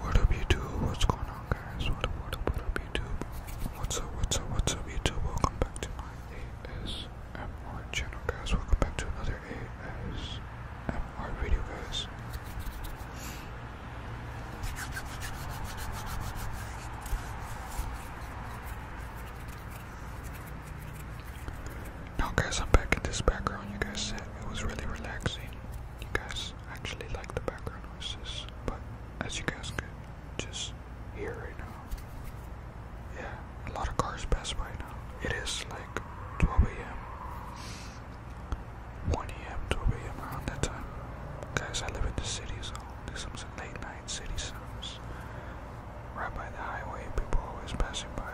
What up YouTube? What's going on guys? What up what up what up YouTube? What's up what's up what's up YouTube? Welcome back to my ASMR channel guys. Welcome back to another ASMR video guys. Now guys, I'm back in this background you guys said it was really relaxing. You guys actually like the background noises, but as you guys can just hear right now, yeah, a lot of cars pass by now. It is like 12 a.m., 1 a.m., 2 a.m. around that time. Guys, I live in the city, so there's some late night city sounds. Right by the highway, people always passing by.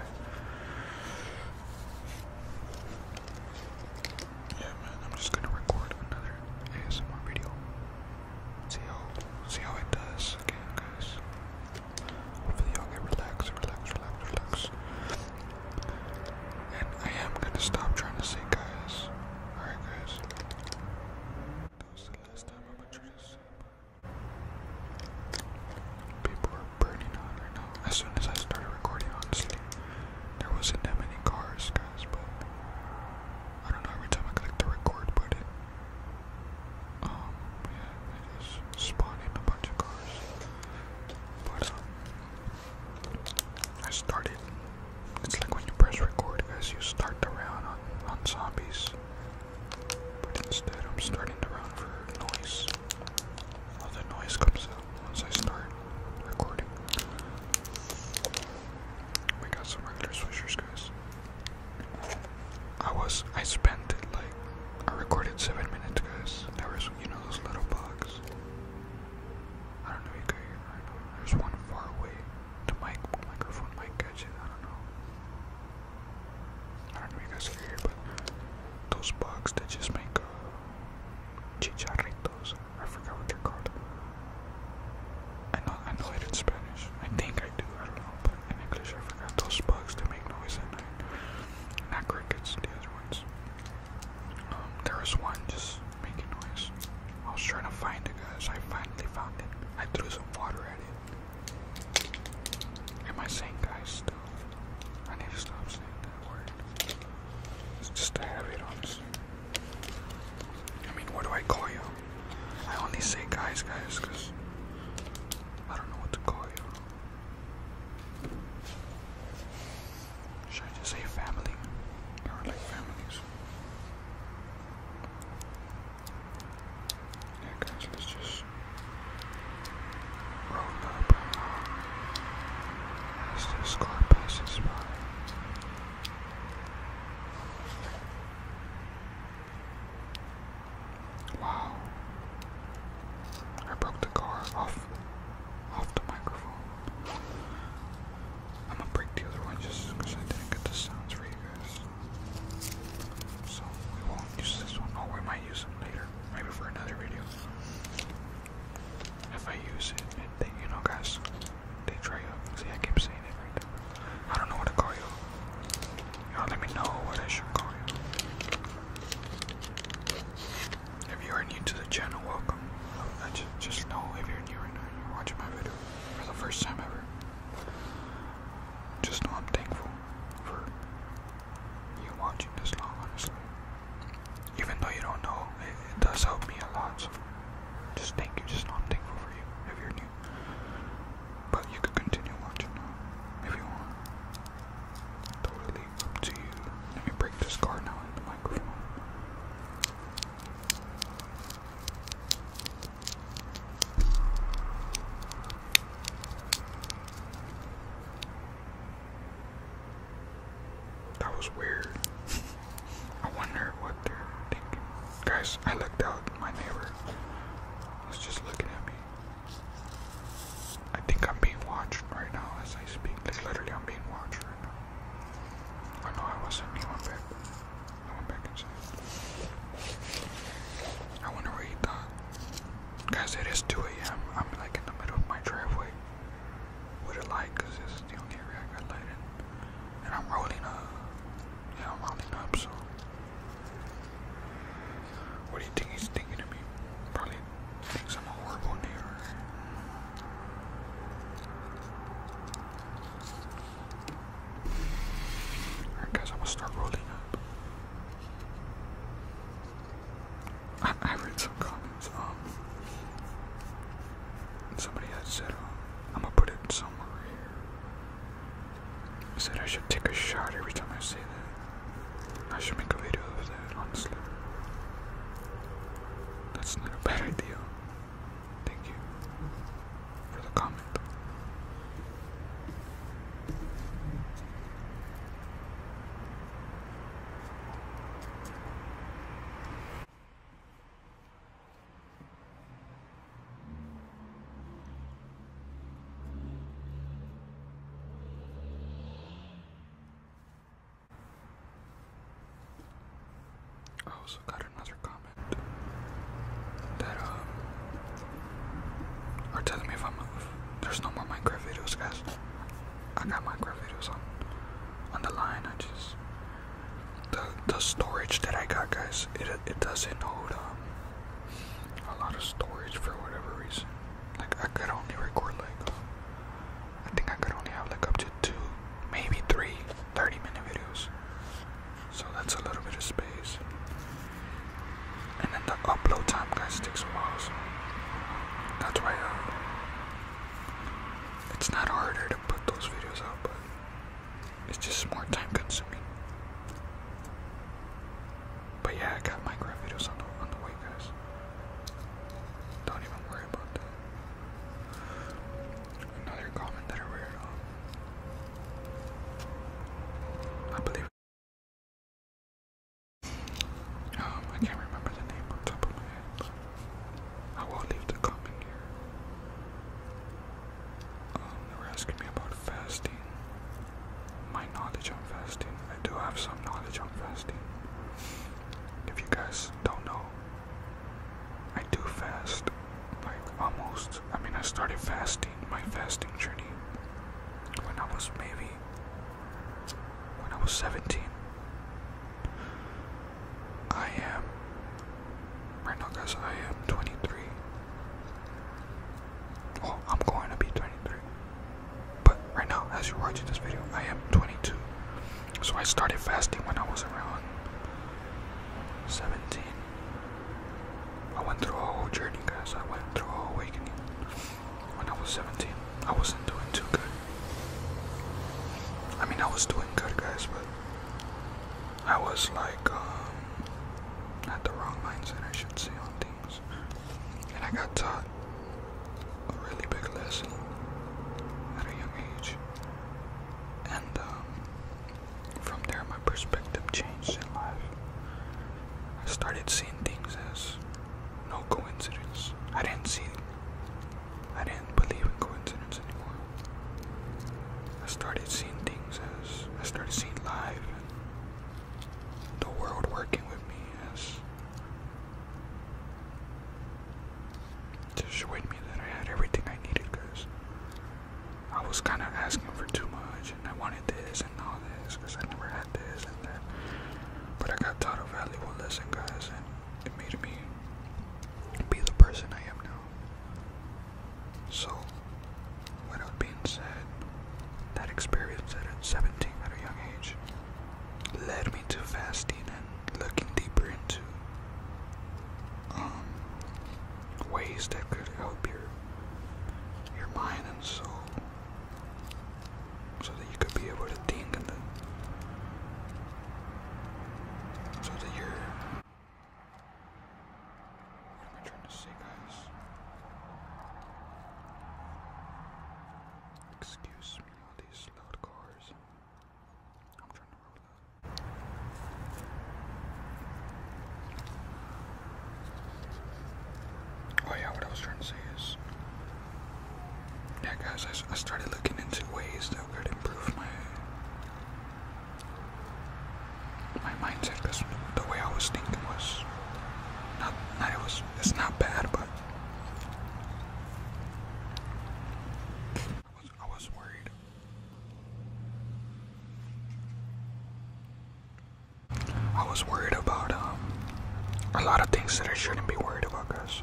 Yeah, man, I'm just gonna record another ASMR video. See how see how it does again, guys. Hopefully, y'all get relaxed, relax, relax, relax. And I am gonna stop trying to say guys. Alright, guys. That was the last time I'm gonna try to People are burning on right now. As soon as I started recording, honestly, there wasn't that many cars, guys, but I don't know, every time I click the record button, um, yeah, it is spawning a bunch of cars. But, um, I started, it's like when you press record, guys, you start the round on, on zombies. But instead, I'm starting to round for noise all the noise comes out once I start recording. We got some regular swishers, guys. I was, I spent it like, I recorded seven minutes, guys. There was, you know, those little bugs. I don't know if you can hear right There's one far away. The mic, microphone might catch it. I don't know. I don't know if you guys hear, but those bugs that just make uh, chicharritos. I forgot what they're called. I know, I know it in Spanish. I think I do. I don't know, but in English I forgot those bugs that make noise at night. Not crickets, the other ones. Um, there was one just making noise. I was trying to find it, guys. I finally found it. I threw some water at it. Am I saying guys still? I need to stop saying that word. It's just a habit, honestly. I mean, what do I call you? I only say guys, guys, because I don't know what to call you. Should I just say family? Or like families? let's just roll up and on as the score passes by. Wow. I broke the car off off the microphone. I'm gonna break the other one just because I didn't get the sounds for you guys. So we won't use this one. Oh, we might use it later maybe for another video. If I use it, they, you know, guys, they try out. See, I keep saying it I don't know what to call you. Y'all let me know what I should call you. If you are new to the channel, welcome. I just, just know if you're new right now, you're watching my video for the first time ever. Just know I'm thankful for you watching this long, honestly. Even though you don't know, it, does help me a lot. So just thank you. Just know I'm thankful for you if you're new. But you could continue watching if you want. Totally up to you. Let me break this card now in the microphone. That was weird. I wonder what they're thinking. Guys, I looked out my neighbor. was just looking at me. I think I'm being watched right now as I speak. Like literally I'm being watched right now. Oh no, I wasn't. He went I went back inside. I wonder what he thought. Guys, it is 2 a.m. I'm like in the middle of my driveway with a light because the only area I got light And I'm rolling up. Yeah, I'm rolling up, so. What do you think he's thinking of me? Probably thinks I'm a horrible neighbor. Alright, guys, I'm gonna start rolling up. I, read some comments. Um, somebody had said, um, I'm gonna put it somewhere Said I should take a shot every time I see that. I should make a video of that, honestly. That's not a bad idea. Thank you for the comment. I also got another comment that um, or tell me if I'm there's no more Minecraft videos, guys. I got Minecraft videos on on the line. I just the the storage that I got, guys. It it doesn't hold um a lot of storage for whatever reason. Like I could only record like uh, I think I could only have like up to two, maybe three 30 minute videos. So that's a little bit of space. And then the upload time guys takes a while. that's why uh, it's not harder to put those videos out, but it's just more time consuming. But yeah, I got Minecraft videos on the on the way, guys. Don't even worry about that. Another comment that I read. Um, I believe um, I can't remember the name on top of my head, I will leave the comment here. Um, they asking me about fasting. My knowledge on fasting. I do have some knowledge on fasting. If you guys don't know, I do fast. Like almost. I mean, I started fasting my fasting journey when I was maybe when I was 17. I am right now guys I am 23. I'm going to be 23. But right now as you're watching this video, I am 22. So I started fasting when I was around 17. I went through a whole journey, guys. I went through a whole awakening. When I was 17, I wasn't doing too good. I mean, I was doing good, guys, but I was like, um, at the wrong mindset, I should say, on things. And I got taught a really big lesson at a young age. And, um, from there, my perspective changed in life. I started seeing things as no coincidence. I didn't see, I didn't believe in coincidence anymore. I started seeing things as, I started seeing life the world working with me as to show me that I had everything I needed because I was kind of asking for too much, and I wanted this and all this because I never had this and that. But I got taught a valuable lesson, guys, and it made me be the person I am now. So, without being said, that experience at 17 at a young age led me to fasting and looking deeper into um, ways that could help your your, mind and soul so that you could be able to think and then so that you're what am I trying to say guys? Excuse me all these loud cars. I'm trying to roll up. Oh yeah, what I was trying to say is, yeah, guys, I, started looking into ways that could improve my my mindset because the way I was thinking was not, not was it's not bad, but I was I was worried I was worried about um, a lot of things that I shouldn't be worried about, guys.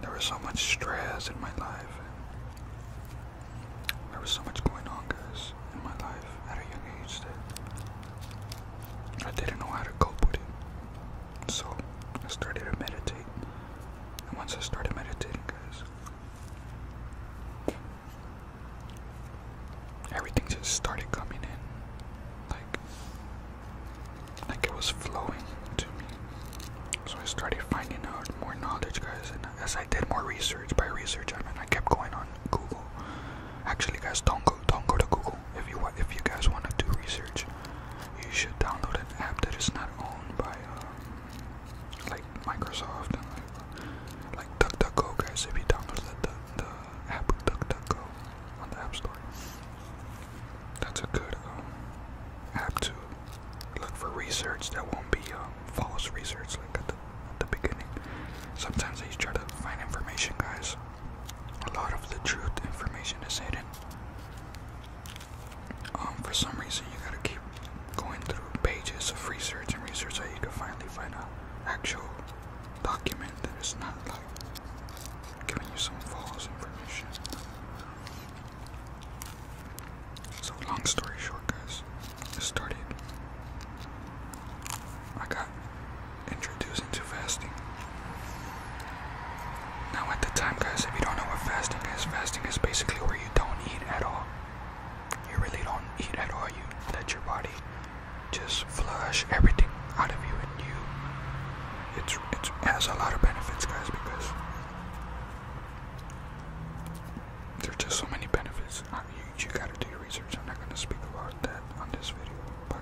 There was so much stress in my life. There was so much going on, guys, in my life at a young age that I didn't know how to cope with it. So I started to meditate. And once I started meditating, guys, everything just started coming in, like like it was flowing to me. So I started finding out more knowledge, guys, and as I did more research, by research I mean I kept going on Google. Actually, guys, don't go don't go to Google if you if you guys want to do research. You should download an app that is not owned by um, like Microsoft and like DuckDuckGo guys. If you download the the, app DuckDuckGo on the App Store, that's a good um, app to look for research that won't be um, false research like at the, beginning. Sometimes I try to find information, guys. A lot of the truth information is hidden. Um, for some reason, you gotta keep going through pages of research and research that you can finally find an actual document that is not like giving you some false information. So long story short guys, it started. I got introduced into fasting. Now at the time guys, if you don't know what fasting is, fasting is basically where you don't eat at all you really don't eat at all. You let your body just flush everything out of you, and you it's, it has a lot of benefits, guys, because there's just so many benefits. Uh, you, gotta do your research. I'm not gonna speak about that on this video, but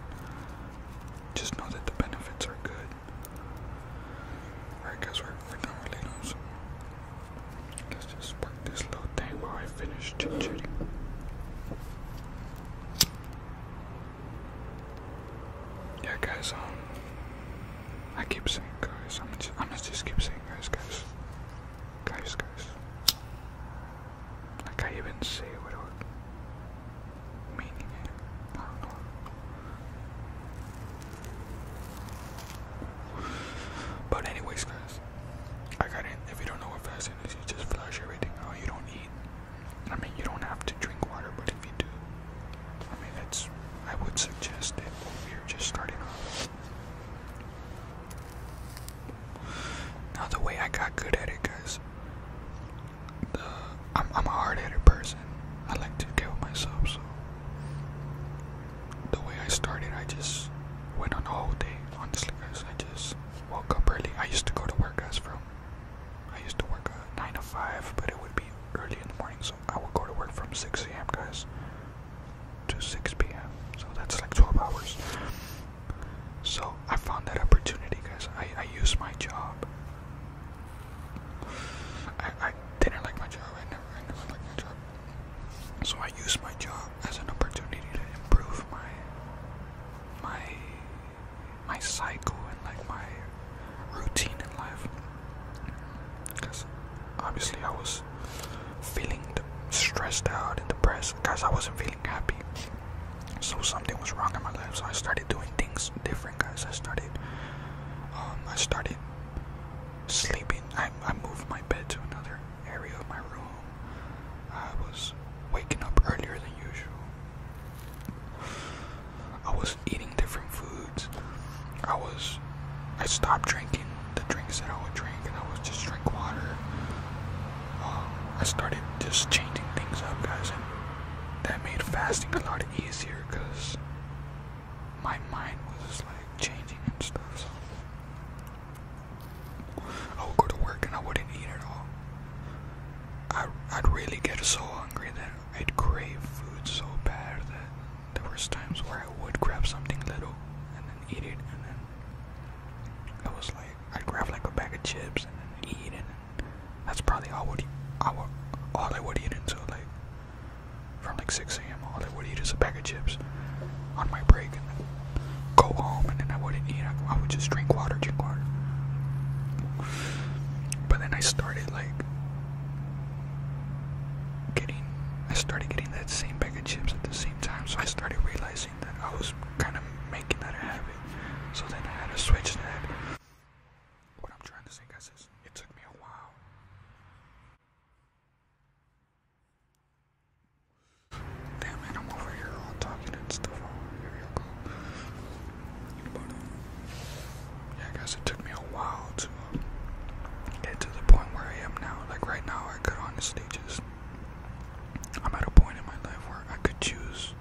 just know that the benefits are good. Alright, guys, we're, we're done with Let's just work this little thing while I finish chit chatting. Yeah, guys. Um, I keep saying guys. I'm just, I'm just keep saying guys, guys, guys, guys. Like I even say without meaning it. I don't but anyways, guys, I got in. If you don't know what fasting is, you just flush everything out. You don't eat. I mean, you don't have to drink water, but if you do, I mean, that's. I would suggest it We are just starting off. Now, the way I got good at it, guys, I'm, a hard-headed person. I like to kill myself, so the way I started, I just went on a whole day. Honestly, guys, I just woke up early. I used to go to work, guys, from I used to work uh, nine to five, but it would be early in the morning, so I would go to work from six a.m. guys to six p.m. So that's like twelve hours. So I found that opportunity, guys. I I used my job. I I didn't like my job. I never I never liked my job. So I use my job as an opportunity to improve my my my cycle and like my routine in life. Cause obviously I was feeling stressed out and depressed because I wasn't feeling happy. So something was wrong in my life. So I started doing things different, guys. I started um, I started sleeping. I, moved my bed to another area of my room. I was waking up earlier than usual. I was eating different foods. I was. I stopped drinking the drinks that I would drink, and I was just drink water. Um, I started just changing things up, guys, and that made fasting a lot easier because my mind was just like changing and stuff. So I would go to work and I wouldn't eat at all. I I'd really get so hungry that I'd crave food so bad that there was times where I would grab something little and then eat it, and then it was like I'd grab like a bag of chips and then eat, and that's probably all I I would all I would eat until like from like 6 a.m. All I would eat is a bag of chips on my break and then go home and then I wouldn't eat. I, I would just drink water, drink water. But then I started like getting, I started getting that same bag of chips at the same time. So I started realizing that I was kind of making that a habit. So then I had to switch that. What I'm trying to say, guys, is it took me a while Damn it, I'm over here all talking and stuff. Oh, here you go. yeah, I guess it took me a while to get to the point where I am now. Like, right now, I could honestly just. I'm at a point in my life where I could choose.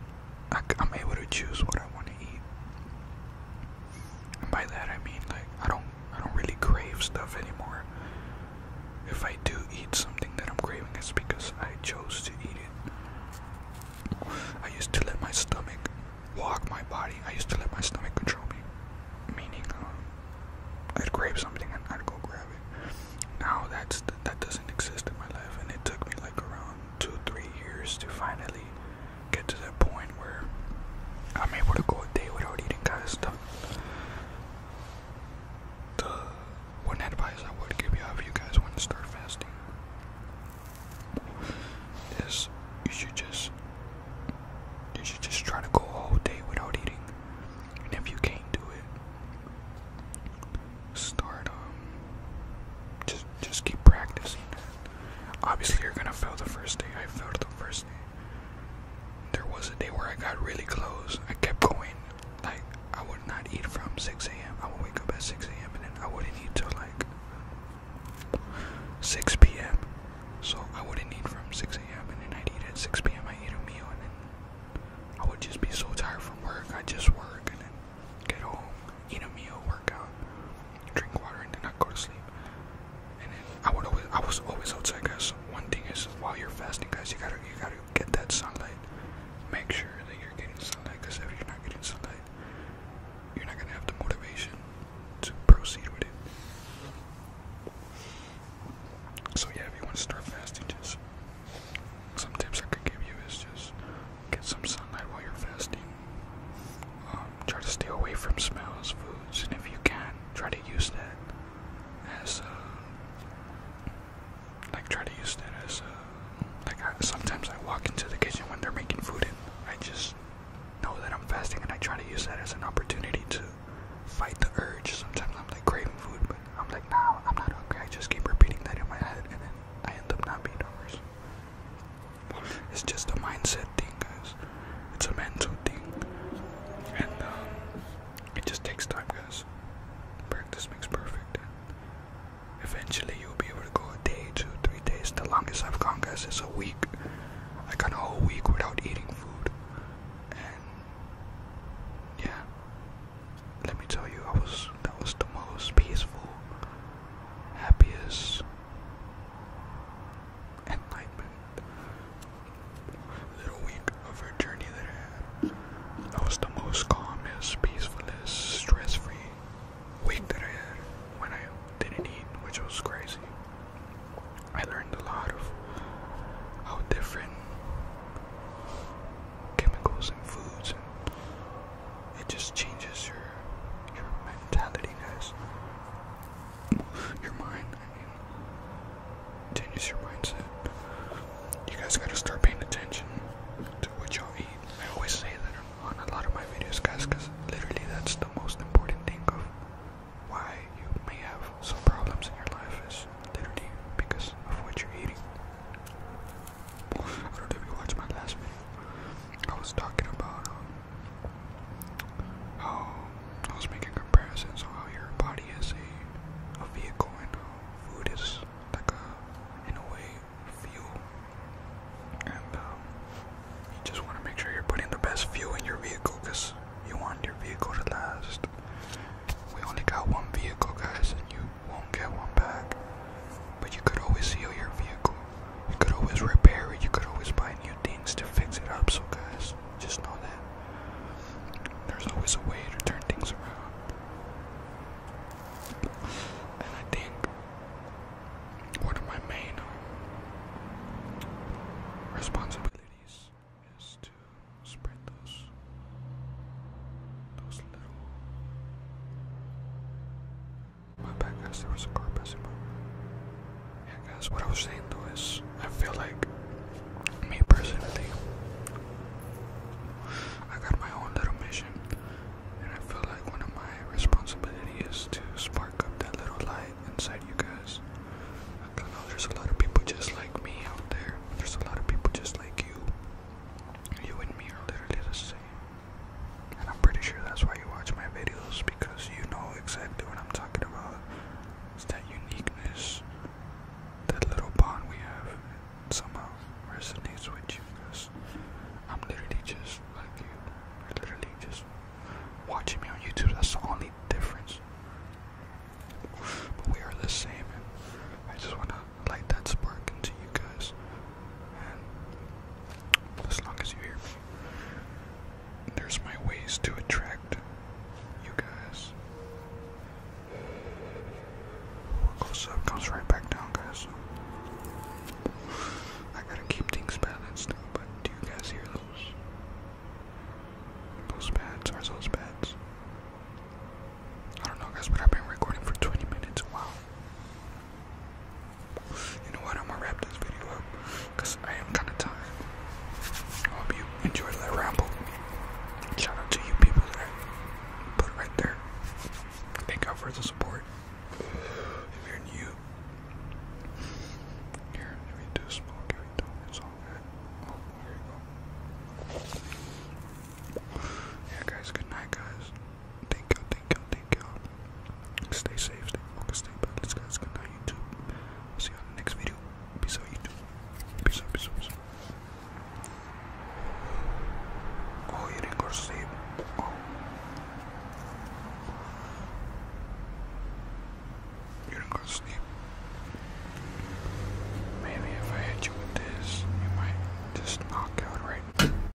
I, am able to choose what I want to eat. by that I mean, like, I don't I don't really crave stuff anymore. If I do eat something that I'm craving, it's because I chose to eat it. I used to let my stomach walk my body. I used to let my stomach control me, meaning um, I'd crave something and I'd go grab it. Now that's that doesn't exist in my life, and it took me like around two, three years to finally get to that point where I'm able to go a day without eating kind of stuff. The one advice I would give you if you guys want to start fasting is you should just you should just try to go a whole day without eating. And if you can't do it, start um just just keep practicing Obviously, you're gonna fail the first day. I failed the first day. There was a day where I got really close. I kept going. Like, I would not eat from 6 a.m. I would wake up at 6 a.m. and then I wouldn't eat till like 6 p.m. So, I wouldn't eat from 6 a.m. and then I'd eat at 6 p.m. I eat a meal and then I would just be so tired from work. I'd just work and then get home, eat a meal, workout drink water and then not go to sleep. And then I would always, I was always outside, guys. One thing is, while you're fasting, guys, you gotta, you gotta get that sunlight. Make sure that you're getting sunlight, because if you're not getting sunlight, you're not gonna have the motivation to proceed with it. So yeah, if you want to start fasting, just some tips I could give you is just get some sunlight while you're fasting. Um, try to stay away from smells, foods, and if you can, try to use that as uh, like try to use that as uh, like I, sometimes I walk into the kitchen when they're making food and I just know that I'm fasting and I try to use that as an opportunity to fight the urge. Sometimes I'm like craving food, but I'm like, nah, I'm not okay. I just keep repeating that in my head and then I end up not being hungry. It's just a mindset thing, guys. It's a mental thing, and um, it just takes time, guys. Practice makes perfect, and eventually you'll be able to go a day, two, three days. The longest I've gone, guys, is a week. I got a whole week without eating food, and yeah, let me tell you, I was that was the most peaceful, happiest enlightenment. Little week of her journey that I had. I was the most calmest, peacefulest, stress-free week that I had when I didn't eat, which was crazy. I learned a lot of how different chemicals and foods it just changes your your mentality, guys. Your mind, I mean, changes your mindset. You guys gotta start paying attention to what y'all eat. I always say that on a lot of my videos, guys, because literally that's the most important thing of why you may have some problems in your life is literally because of what you're eating. I don't know if you watched my last video. I was talking about um, how I was making comparisons on how your body is a, vehicle and food is like a, in a way, fuel. And um, you just want to make sure you're putting the best fuel in your vehicle because you want your vehicle to last. We only got one vehicle, guys, and you won't get one back. But you could always heal your vehicle. You could always repair it. You could always buy new things to fix it up. So, guys, just know that there's always a way to turn things around. And I think one of my main um, responsibilities is to spread those those little my bad, guys. There was a car passing by. Yeah, guys. What I was saying though is, I feel like me personally, I got my own little mission, and I feel like one of my responsibilities is to spark up that little light inside you guys. I know there's a lot of people just like me out there. There's a lot of people just like you. You and me are literally the same. I'm pretty sure that's why you watch my videos because you know exactly what I'm talking about. It's that uniqueness, that little bond we have, it somehow resonates with you because I'm literally just like you. I'm literally just watching me on YouTube. That's the only difference. But we are the same, and I just want to light that spark into you guys. As long as you hear me, there's my ways to attract you guys. What goes up uh, comes right back down, guys. I gotta keep things balanced, but do you guys hear those? Those pads are those pads. I don't know, guys, but have been recording for 20 minutes. Wow. You know what? I'm gonna wrap this video up because I am kind of tired. hope you enjoyed that ramble. Shout out to you people that I put right there. Thank God for the support. If you're new, here, if you do smoke, if you don't, it's oh, you go. Yeah, guys, good night, guys. Thank y'all, thank y'all, thank y'all. Stay safe, stay focused, stay balanced, guys. Good night, YouTube. I'll see you on the next video. Peace out, YouTube. Peace out, peace out, peace out. Oh, you didn't go to sleep. Oh. You didn't go to sleep. Maybe if I hit you with this, you might just knock out right now.